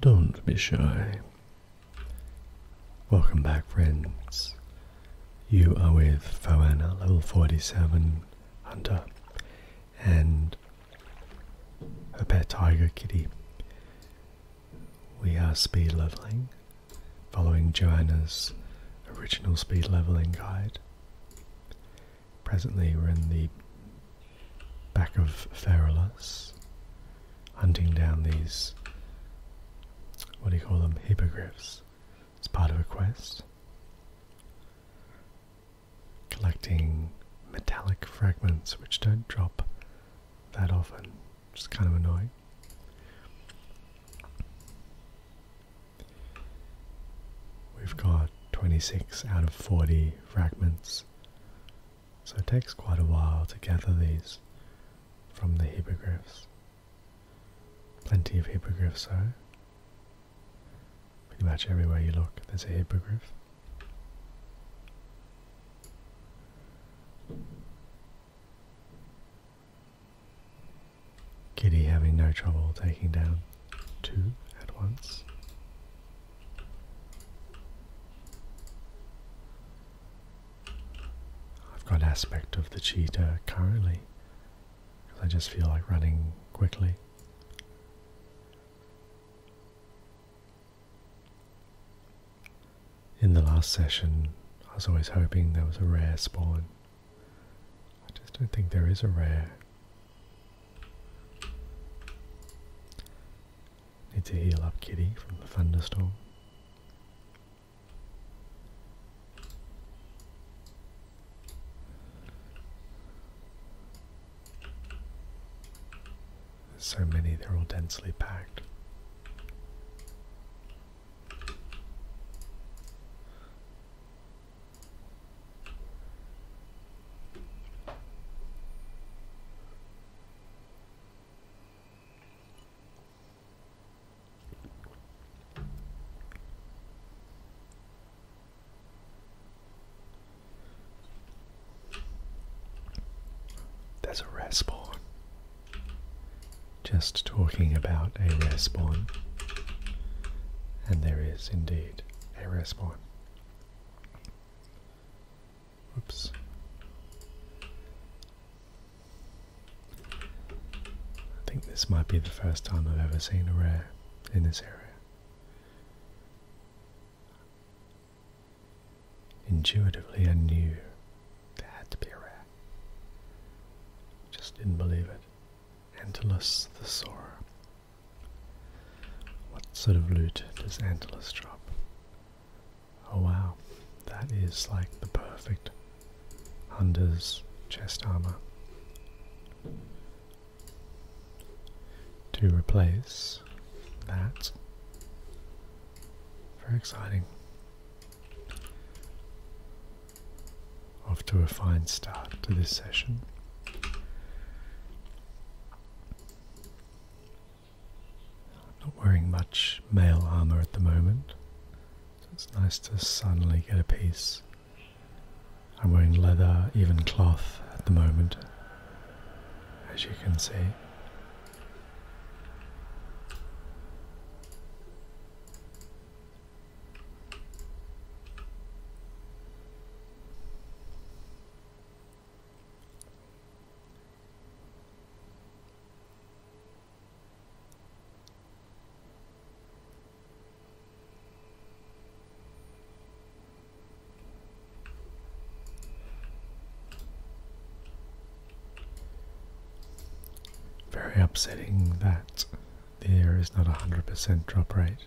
Don't be shy. Welcome back, friends. You are with Foana, level 47 hunter, and her pet tiger kitty. We are speed leveling, following Joanna's original speed leveling guide. Presently we're in the back of Feralus, hunting down these, what do you call them, hippogriffs. It's part of a quest. Collecting metallic fragments which don't drop that often, just kind of annoying. We've got 26 out of 40 fragments so it takes quite a while to gather these from the hippogriffs. Plenty of hippogriffs though. Pretty much everywhere you look there's a hippogriff. Kitty having no trouble taking down two at once. I've got aspect of the cheetah currently because I just feel like running quickly. In the last session, I was always hoping there was a rare spawn. I just don't think there is a rare. Need to heal up Kitty from the thunderstorm. so many, they're all densely packed. There's a respawn. Just talking about a respawn. And there is indeed a respawn. Whoops. I think this might be the first time I've ever seen a rare in this area. Intuitively, I knew there had to be a rare. Just didn't believe it. Antilus thesaura. What sort of loot does Antalus drop? Oh wow, that is like the perfect Hunder's chest armor. To replace that. Very exciting. Off to a fine start to this session. I'm not wearing much mail armour at the moment, so it's nice to suddenly get a piece. I'm wearing leather, even cloth at the moment, as you can see. Very upsetting that there is not a hundred percent drop rate.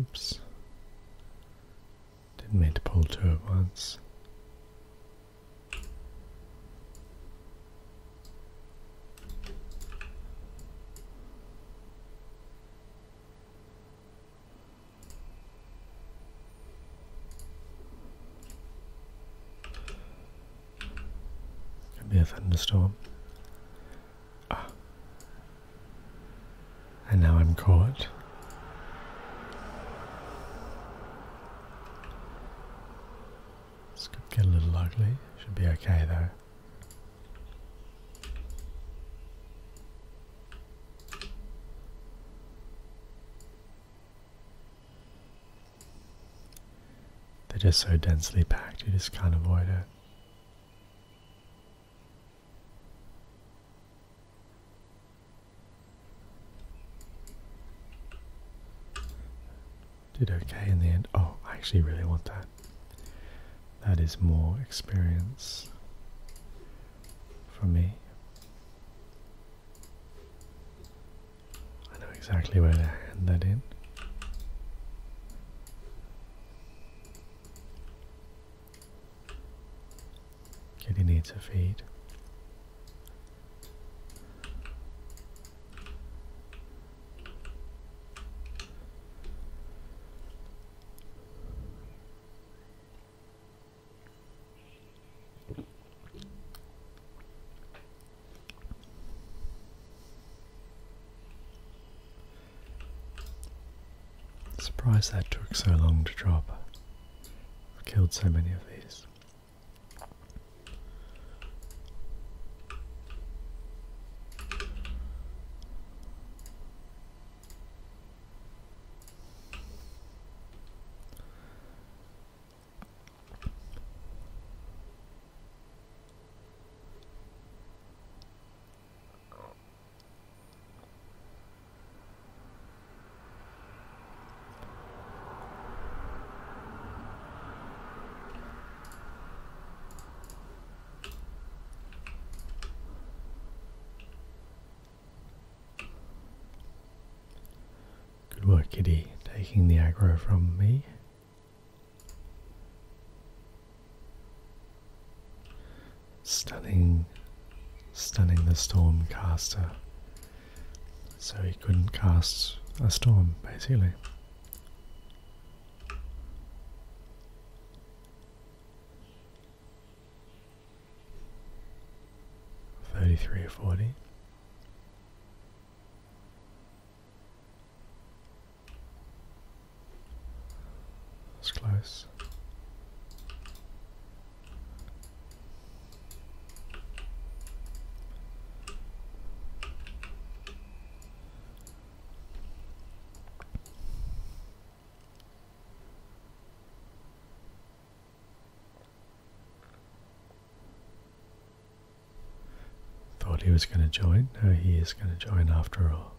Oops. Didn't mean to pull two at once. Could be a thunderstorm. And now I'm caught. This could get a little ugly. Should be okay though. They're just so densely packed, you just can't avoid it. Did okay in the end. Oh, I actually really want that. That is more experience for me. I know exactly where to hand that in. Kitty needs a feed. Surprised that took so long to drop. I've killed so many of these. Good work, kitty, taking the aggro from me. Stunning, stunning the storm caster, so he couldn't cast a storm basically. Thirty-three or forty. That's close. Thought he was going to join. No, he is going to join after all.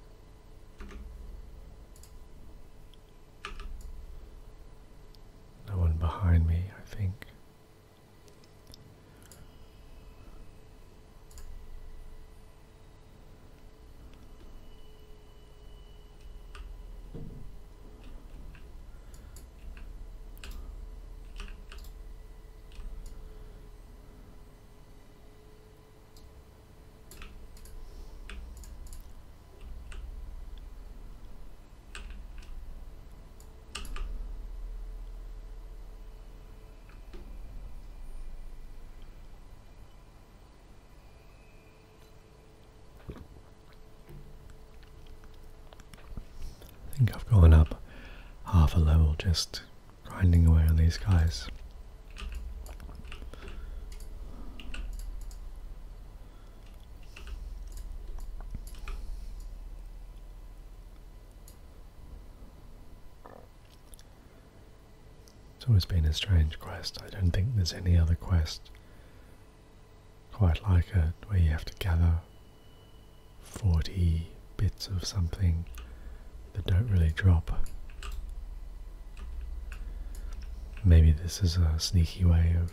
No one behind me, I think. I think I've gone up half a level just grinding away on these guys. It's always been a strange quest. I don't think there's any other quest quite like it where you have to gather 40 bits of something that don't really drop. Maybe this is a sneaky way of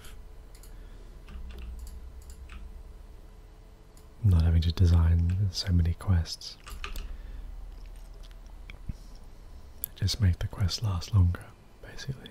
not having to design so many quests. Just make the quest last longer, basically.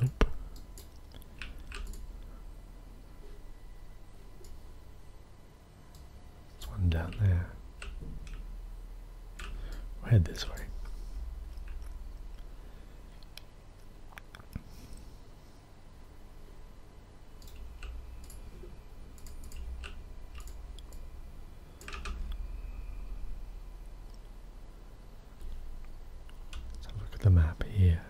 Nope. one down there. head this way let look at the map here.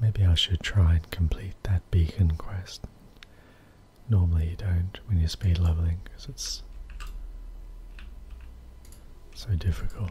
Maybe I should try and complete that beacon quest. Normally you don't when you're speed leveling because it's so difficult.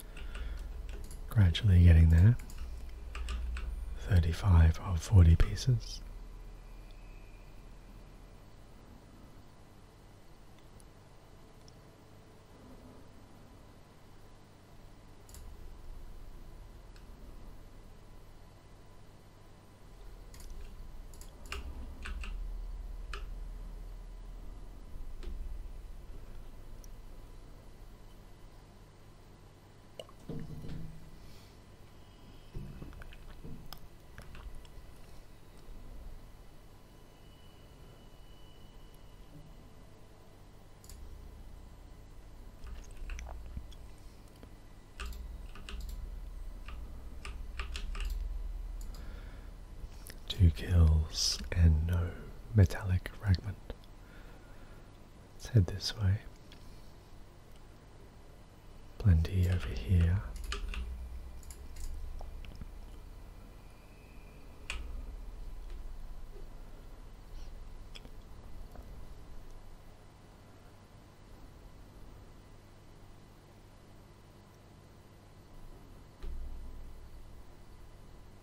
Gradually getting there. 35 of 40 pieces. Two kills and no metallic fragment. Let's head this way. Plenty over here.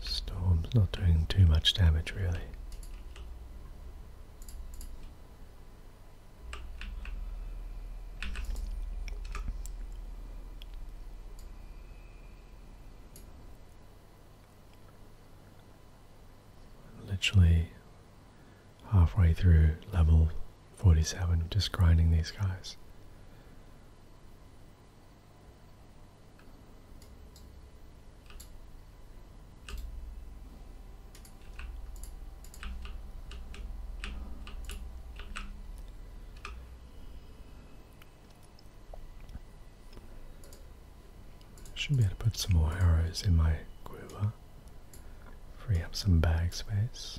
Storm's not doing too much damage really. Literally halfway through level 47 just grinding these guys. Should be able to put some more arrows in my quiver, free up some bag space.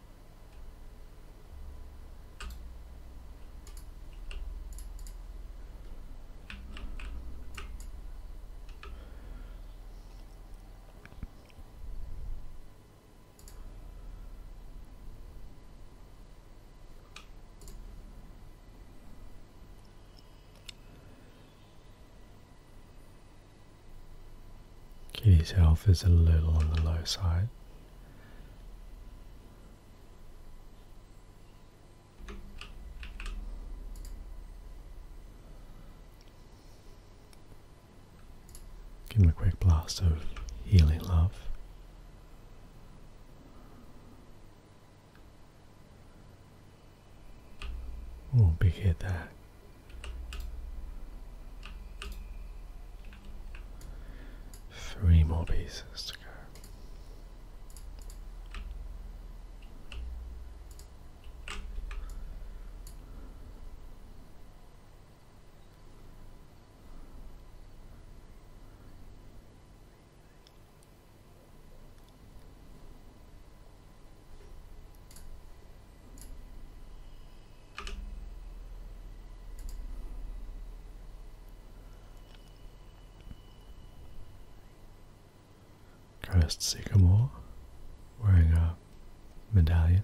Kitty's health is a little on the low side. Give him a quick blast of healing love. Oh, big hit there. Three more pieces to go. Crest Sycamore wearing a medallion.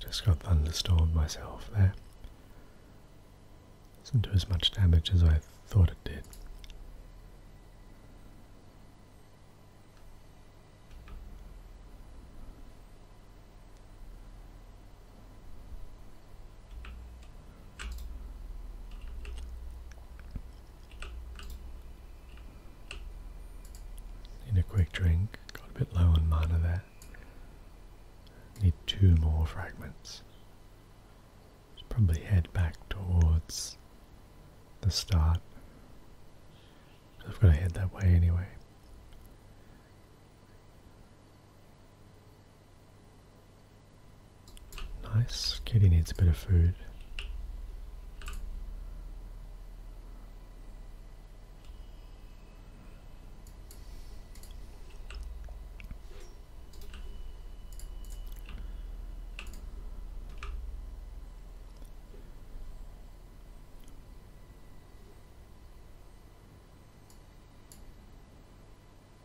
Just got thunderstormed myself there. Doesn't do as much damage as I thought it did. Need a quick drink. Got a bit low on mana there. Need two more fragments. probably head back towards the start. I've got to head that way anyway. Nice. Kitty needs a bit of food.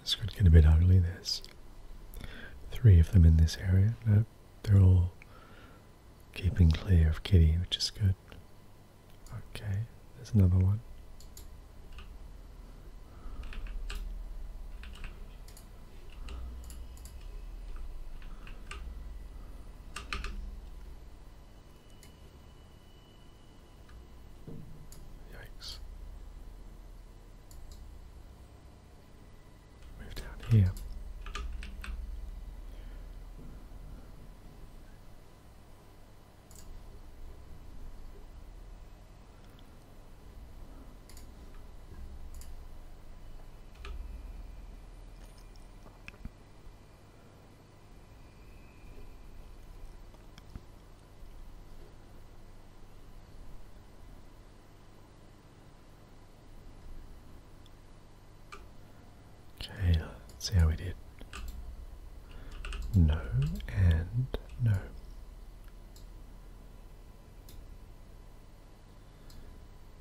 This could get a bit ugly. There's three of them in this area. they're all keeping clear of Kitty, which is good. Okay, there's another one. Yikes. Move down here. Okay, let's see how we did. No and no.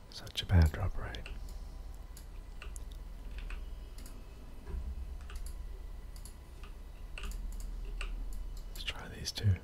Such a bad drop right? Let's try these two.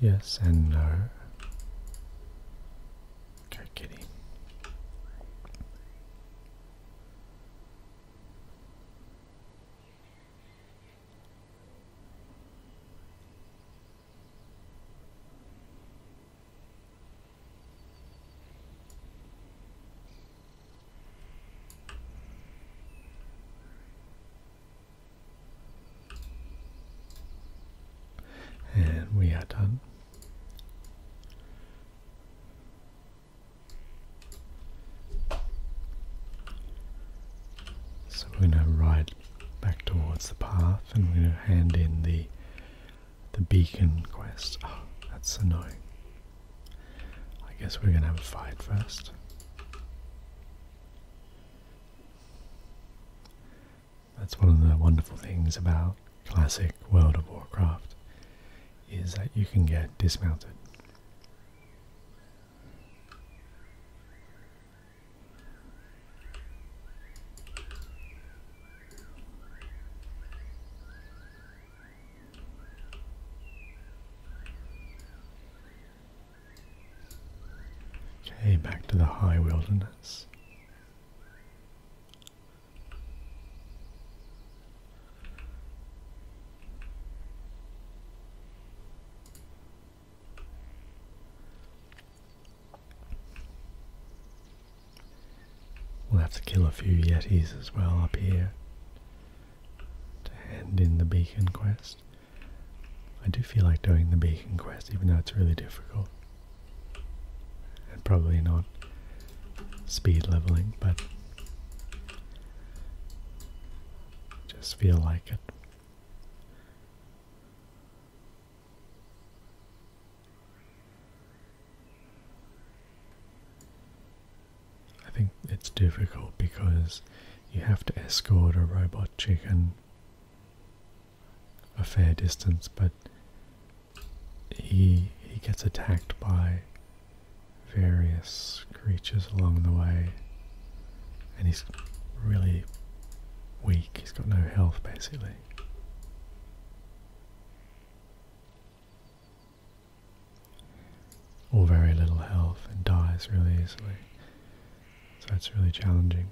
Yes and no. Okay, kitty. And we are done. So we're going to write back towards the path and we're going to hand in the the beacon quest. Oh, that's annoying. I guess we're going to have a fight first. That's one of the wonderful things about classic World of Warcraft is that you can get dismounted. Okay, back to the high wilderness. We'll have to kill a few yetis as well up here to hand in the beacon quest. I do feel like doing the beacon quest even though it's really difficult. probably not speed leveling, but just feel like it. I think it's difficult because you have to escort a robot chicken a fair distance, but he he gets attacked by various creatures along the way and he's really weak, he's got no health basically. Or very little health and dies really easily. So it's really challenging.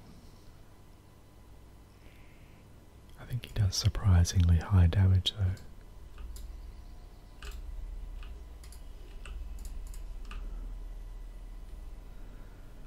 I think he does surprisingly high damage though.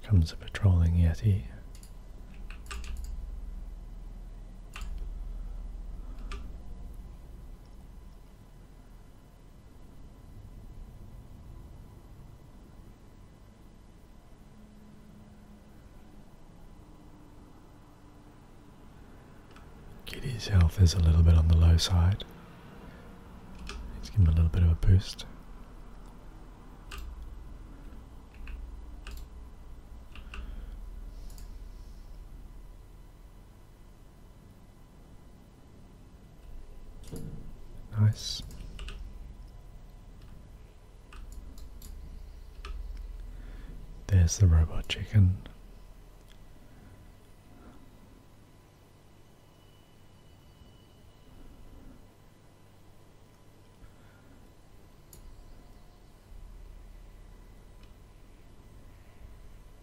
Here comes a patrolling Yeti. Kitty's health is a little bit on the low side. Let's give him a little bit of a boost. Nice. There's the robot chicken.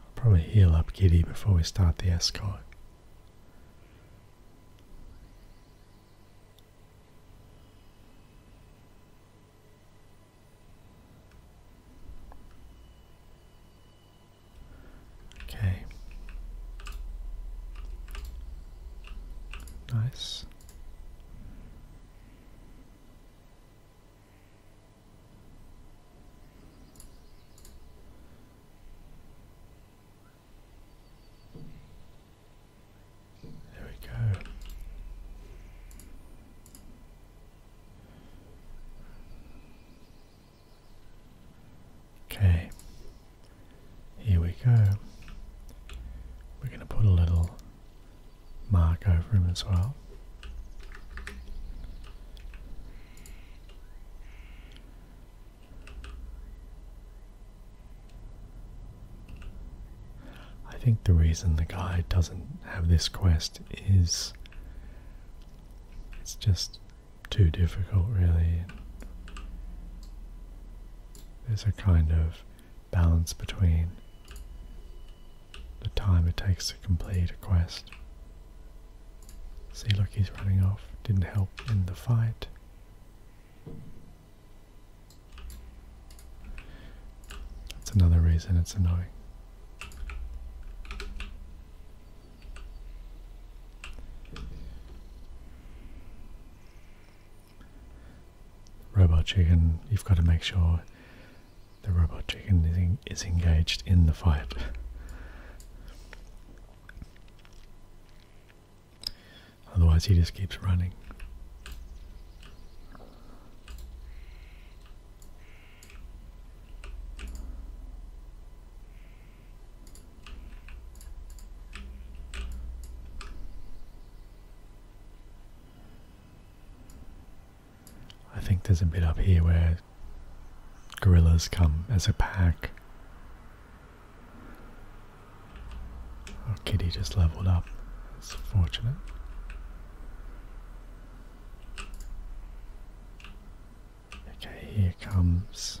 I'll probably heal up Giddy before we start the escort. Okay. Nice. There we go. Okay, here we go. We're going to put a little mark over him as well. I think the reason the guy doesn't have this quest is it's just too difficult, really. There's a kind of balance between the time it takes to complete a quest. See, look, he's running off. Didn't help in the fight. That's another reason it's annoying. Robot chicken, you've got to make sure the robot chicken is, engaged in the fight. Otherwise, he just keeps running. I think there's a bit up here where gorillas come as a pack. Our kitty just leveled up. It's fortunate. Okay, here comes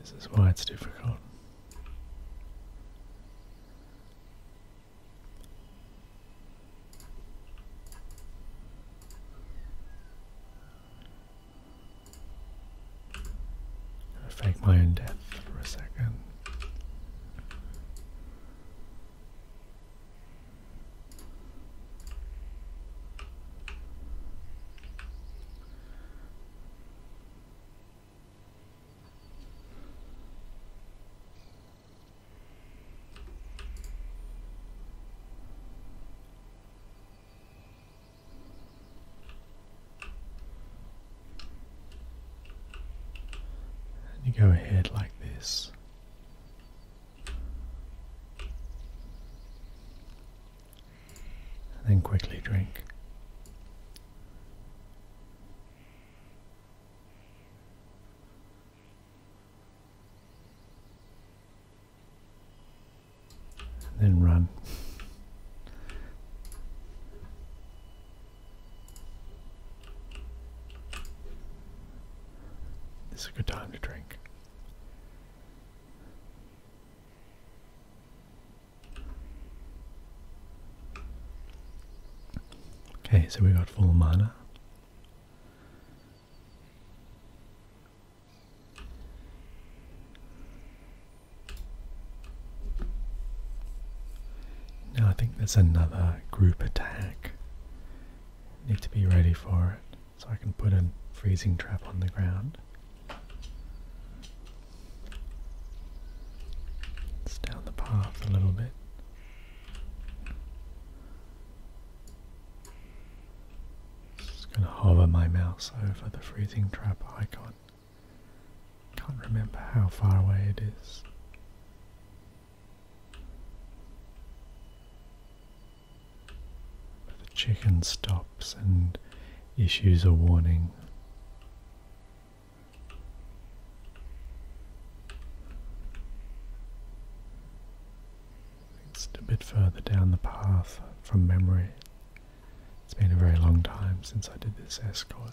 This is why it's difficult. I fake my own death for a second. And you go ahead like this then quickly drink. then run. This is a good time to drink. Okay, so we got full mana. Now I think there's another group attack. Need to be ready for it. So I can put a freezing trap on the ground. It's down the path a little bit. Just gonna hover my mouse over the freezing trap icon. Can't remember how far away it is the chicken stops and issues a warning. It's a bit further down the path from memory. It's been a very long time since I did this escort.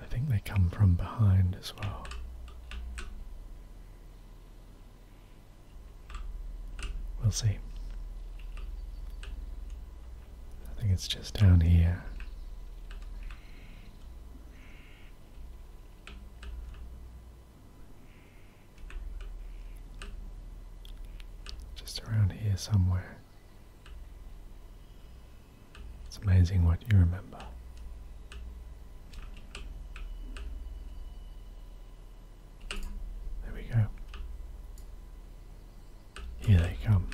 I think they come from behind as well. We'll see. I think it's just down here. Just around here somewhere. It's amazing what you remember. There we go. Here they come.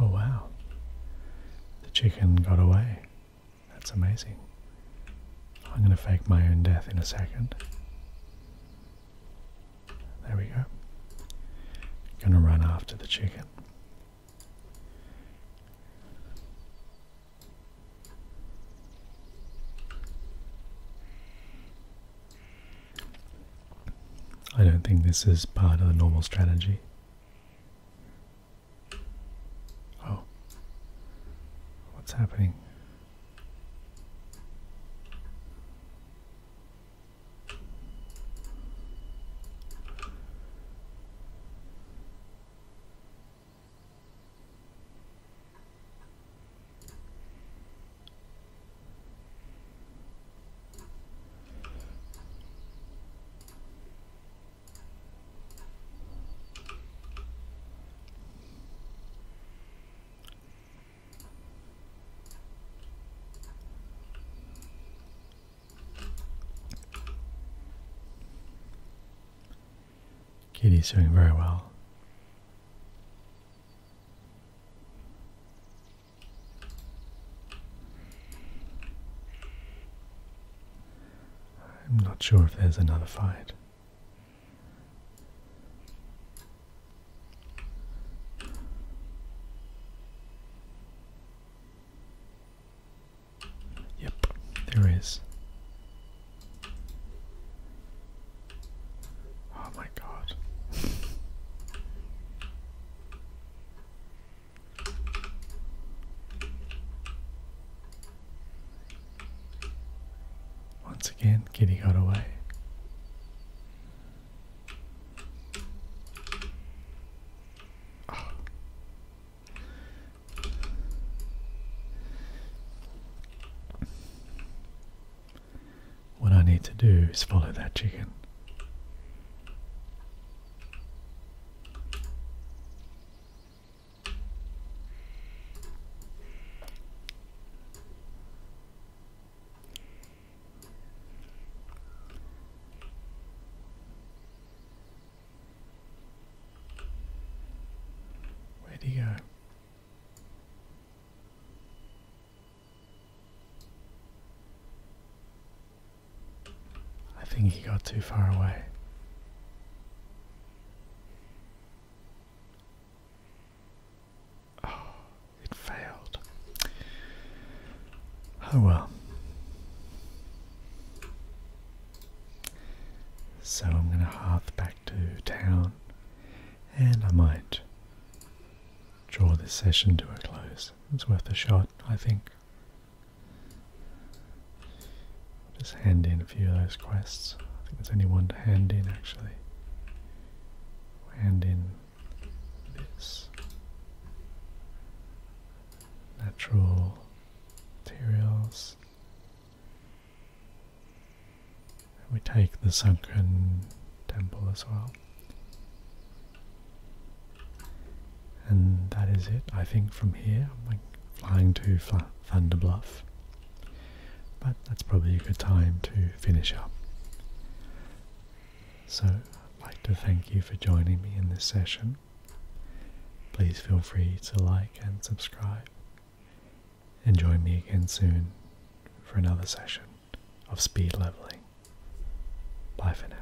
Oh, wow. The chicken got away. That's amazing. I'm going to fake my own death in a second. There we go. Gonna run after the chicken. I don't think this is part of the normal strategy. Oh. What's happening? Kitty's doing very well. I'm not sure if there's another fight. Yep, there is. Oh my god. Once again, Kitty got away. What I need to do is follow that chicken where do you go? I think he got too far away. Oh, it failed. Oh well. So I'm going to huff back to town and I might draw this session to a close. It's worth a shot, I think. Just hand in a few of those quests. I think there's only one to hand in actually. Hand in this natural materials. And we take the sunken temple as well. And that is it. I think from here I'm flying to Fla Thunder Bluff. But that's probably a good time to finish up. So I'd like to thank you for joining me in this session. Please feel free to like and subscribe. And join me again soon for another session of speed leveling. Bye for now.